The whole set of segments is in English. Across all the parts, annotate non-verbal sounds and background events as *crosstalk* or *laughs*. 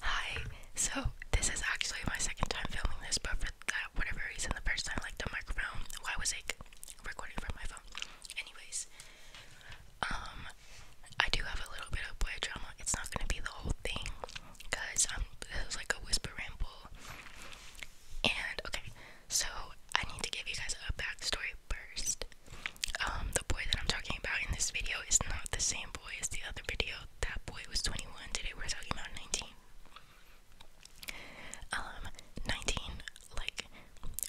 Hi. So this is actually my second time filming this, but for that whatever reason, the first time like the microphone, well, I was like recording from my phone. Anyways, um, I do have a little bit of boy drama. It's not gonna be the whole thing, cause I'm it was like a whisper ramble. And okay, so I need to give you guys a backstory first. Um, the boy that I'm talking about in this video is not the same boy as the other video that boy was 21. Today we're talking about 19. Um, 19, like,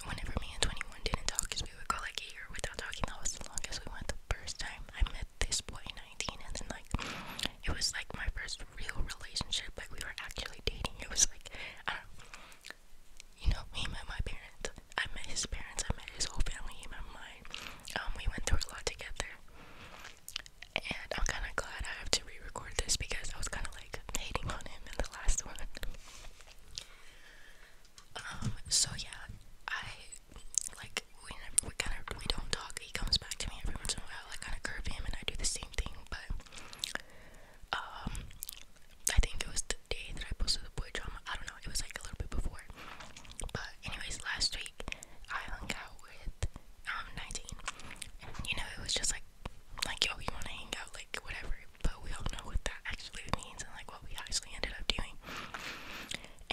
whenever me and 21 didn't talk, because we would go like a year without talking, that was the longest we went the first time I met this boy, 19, and then like, it was like my first real relationship, like, we were actually dating. It was like, you know, he met my parents, I met his parents, I met his whole family, um, we went through a lot together, and I'm kind of glad I have to re this because I was kind of like hating on him in the last *laughs* one. Um, so yeah, I like we never we kind of we don't talk. He comes back to me every once in a while. I kind of curve him, and I do the same thing. But um, I think it was the day that I posted the boy drama. I don't know. It was like a little bit before. But anyways, last week week I hung out with um 19 and you know it was just like like yo you wanna hang out like whatever but we all know what that actually means and like what we actually ended up doing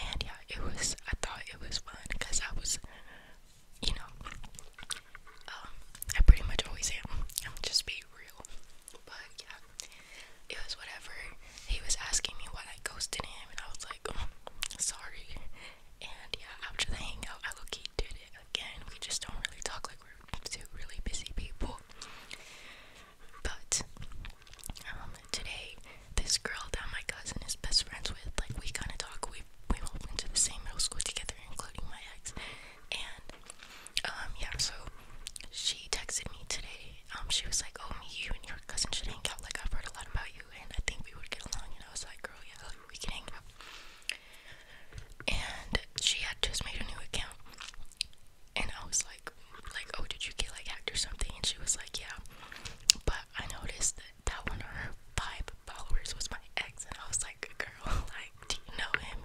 and yeah it was I thought it was fun because I was you know um I pretty much always am I'm just being real but yeah it was whatever he was asking me why I ghosted him and I was like, oh, sorry. And yeah, after the hangout, I look he did it again. We just don't really talk like we're two really busy people. But um, today, this girl that my cousin is best friends with, like we kind of talk. We we all went to the same middle school together, including my ex. And um, yeah, so she texted me today um, she was like, oh, me, you and your cousin should hang out, like, I've heard a lot about you, and I think we would get along, and I was like, girl, yeah, we can hang out, and she had just made a new account, and I was like, like, oh, did you get, like, hacked or something, and she was like, yeah, but I noticed that that one of her five followers was my ex, and I was like, girl, *laughs* like, do you know him,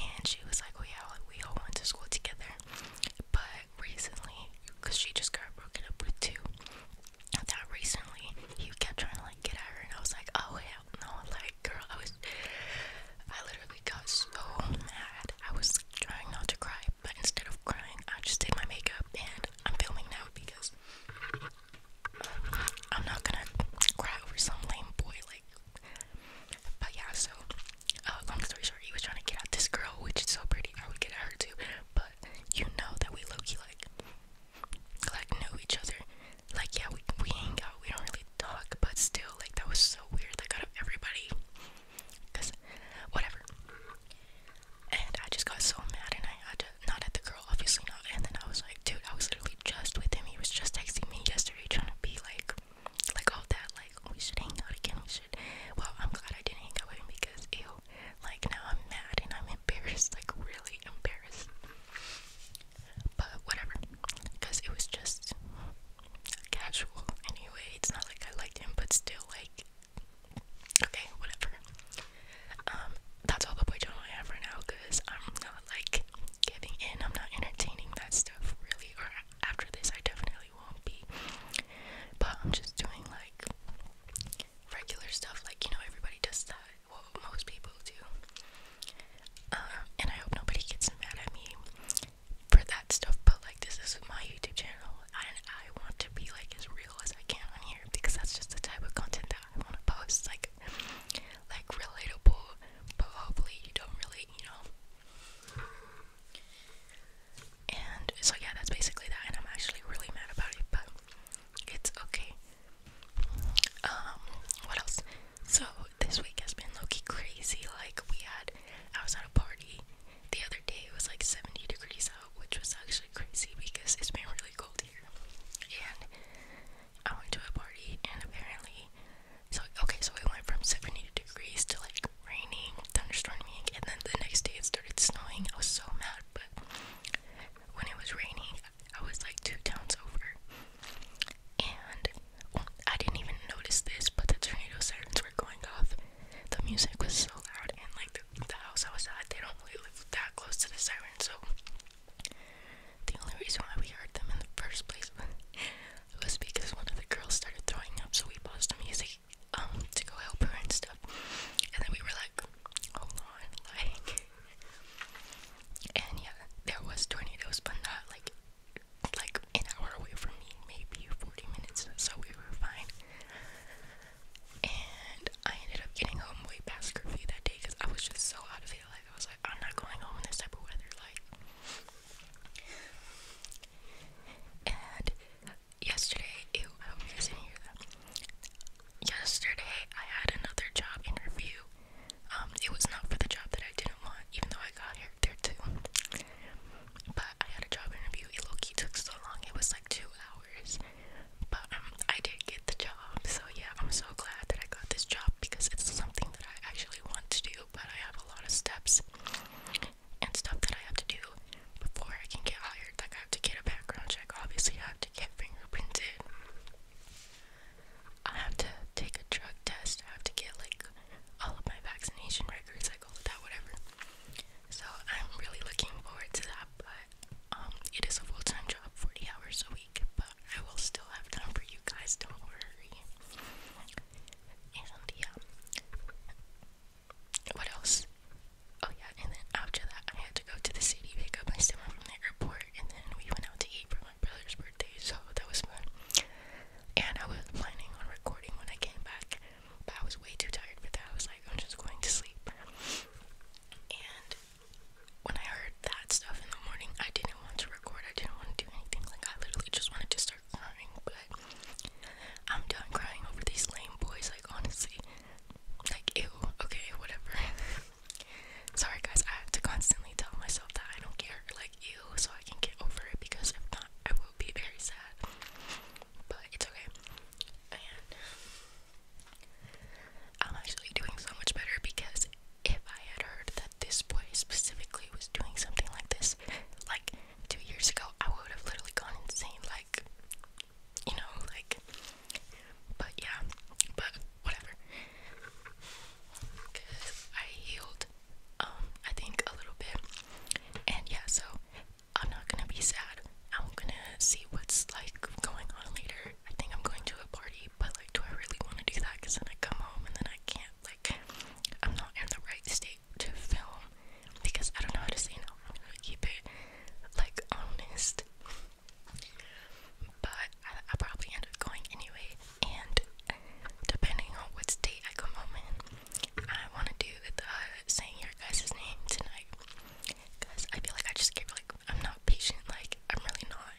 and she was like, oh, yeah, we all went to school together, but recently, because she just got broken up with too, that recently he kept trying to like get at her, and I was like, oh hell no, like girl, I was, I literally got so mad. I was trying not to cry, but instead of crying, I just did my makeup, and I'm filming now because I'm not gonna cry over some lame boy like. But yeah, so uh, long story short he was trying to get out this girl, which is so pretty. I would get at her too, but you know that we Loki like, like know each other. Like yeah, we we hang out. We don't really talk, but still, like that was so weird. Like out of everybody, cause whatever. And I just got so mad, and I had to not at the girl, obviously not. And then I was like, dude, I was literally just with him. He was just texting me yesterday, trying to be like, like all that, like we should hang out again. We should well, I'm glad I didn't go in because ew, like now I'm mad and I'm embarrassed, like really embarrassed. But whatever, because it was just casual anyway. It's not like I liked him, but still, like, okay, whatever. Um, that's all the boy journal I have right now because I'm not like giving in, I'm not entertaining that stuff really. Or after this, I definitely won't be. But I'm just doing like regular stuff, like you know, everybody does that. Well, most people do. Um, and I hope nobody gets mad at me for that stuff. But like, this is my YouTube channel, and I want to be like as real as I can on here because that's just the type of content that I want to post. Like, like relatable, but hopefully you don't really, you know. And so yeah, that's basically that, and I'm actually really mad about it, but it's okay. Um, what else? So this week has been low crazy. Like we had, I was at a party the other day. It was like 70 degrees out, which was actually crazy because it's been really cold here. And I went to a party, and apparently, so okay, so it went from 70 degrees to like raining, thunderstorming, and then the next day it started snowing. I was so mad, but when it was raining, I was like two towns over. And I didn't even notice this, but the tornado sirens were going off. The music was so loud, and like the, the house I was at, they don't really live that close to the sirens, so the only reason why we heard them in the first place *laughs* was because one of the girls started throwing up, so we paused the music um, to go help her and stuff. And then we were like, hold oh, on, like, and yeah, there was tornadoes, but not like, like an hour away from me, maybe 40 minutes, so we were fine. And I ended up getting home way past curfew that day because I was just so out of it. Like, I was like, I'm not going home in this type of weather. Like, and yesterday, ew, I Yesterday, I had another job interview. Um, it was not for the job that I didn't want, even though I got here there too. But I had a job interview. It low key took so long. It was like two hours. But um, I did get the job. So yeah, I'm so glad that I got this job because it's something that I actually want to do. But I have a lot of steps and stuff that I have to do before I can get hired. Like, I have to get a background check, obviously, I have to get fingerprinted, I have to take a drug test, I have to get like all of my vaccination records, like all of that, whatever. So, I'm really looking forward to that, but um, it is a full time job, 40 hours a week, but I will still have time for you guys, don't worry. And yeah, what else? Oh yeah, and then after that, I had to go to the city, pick up my stomach from the airport, and then we went out to eat for my brother's birthday, so that was fun. And I was planning on recording when I came back, but I was way too tired for that. I was like, I'm just going to sleep. And when I heard that stuff in the morning, I didn't want to record. I didn't want to do anything. Like I literally just wanted to start crying, I'm done crying over these lame boys, like, honestly. Like, ew, okay, whatever. *laughs* Sorry, guys, I have to constantly tell myself that I don't care, like, ew, so I can get over it because if not, I will be very sad. But it's okay. And I'm actually doing so much better because if I had heard that this boy specifically was doing something like this, like, two years ago, I would have literally gone insane. Like, you know, like, but yeah, but whatever. I healed, um, I think a little bit. And yeah, so I'm not gonna be sad. I'm gonna see what's like going on later. I think I'm going to a party, but like, do I really want to do that? Because then I come home and then I can't, like, I'm not in the right state to film because I don't know how to say no. I'm gonna keep it like honest. But I, probably end up going anyway, and depending on what state I come home in, I want to do the uh, saying your guys' name tonight. Cause I feel like I just get like I'm not patient, like I'm really not.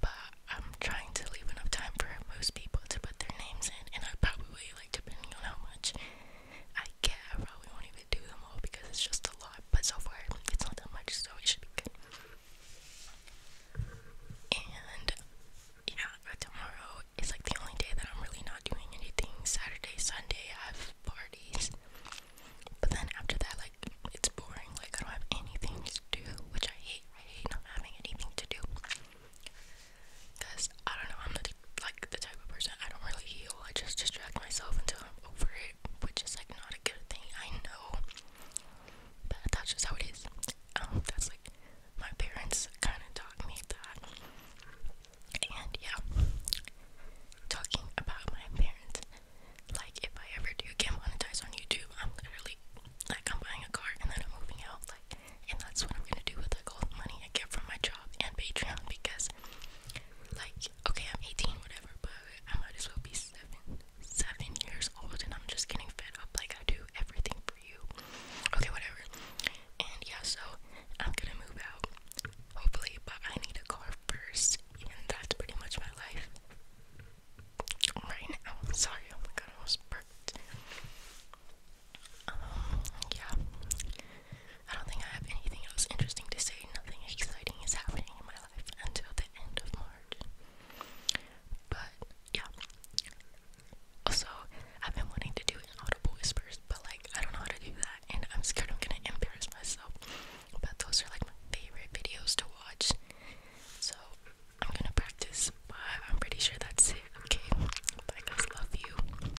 But I'm trying to leave enough time for most people to put their names in, and I probably like depending on how much I get I probably won't even do them all because it's just a lot, but so far it's not that much, so it should be good. And yeah, tomorrow is like the only day that I'm really not doing anything. Saturday, Sunday, I have parties, but then after that, like it's boring. Like I don't have anything to do, which I hate. I hate not having anything to do. Cause I don't know, I'm not like the type of person I don't really heal. I just distract myself until I'm over it, which is like not a good thing. I know, but that's just how it is. Um, that's like my parents kind of taught me that. And yeah, talking about my parents, like if I ever do get monetized on YouTube, I'm literally like I'm buying a car and then I'm moving out, like, and that's what I'm gonna do with like all the money I get from my job and Patreon because like okay I'm 18 whatever but I might as well be seven seven years old and I'm just getting fed up like I do everything for you okay whatever and yeah so I'm gonna move out hopefully but I need a car first and that's pretty much my life right now sorry oh my god I almost burped um yeah I don't think I have anything else interesting to say. Nothing exciting is happening in my life until the end of March. But yeah. Also, I've been wanting to do audible whispers, but like I don't know how to do that, and I'm scared I'm gonna embarrass myself. But those are like my favorite videos to watch, so I'm gonna practice. But I'm pretty sure that's it. Okay, bye guys, love you.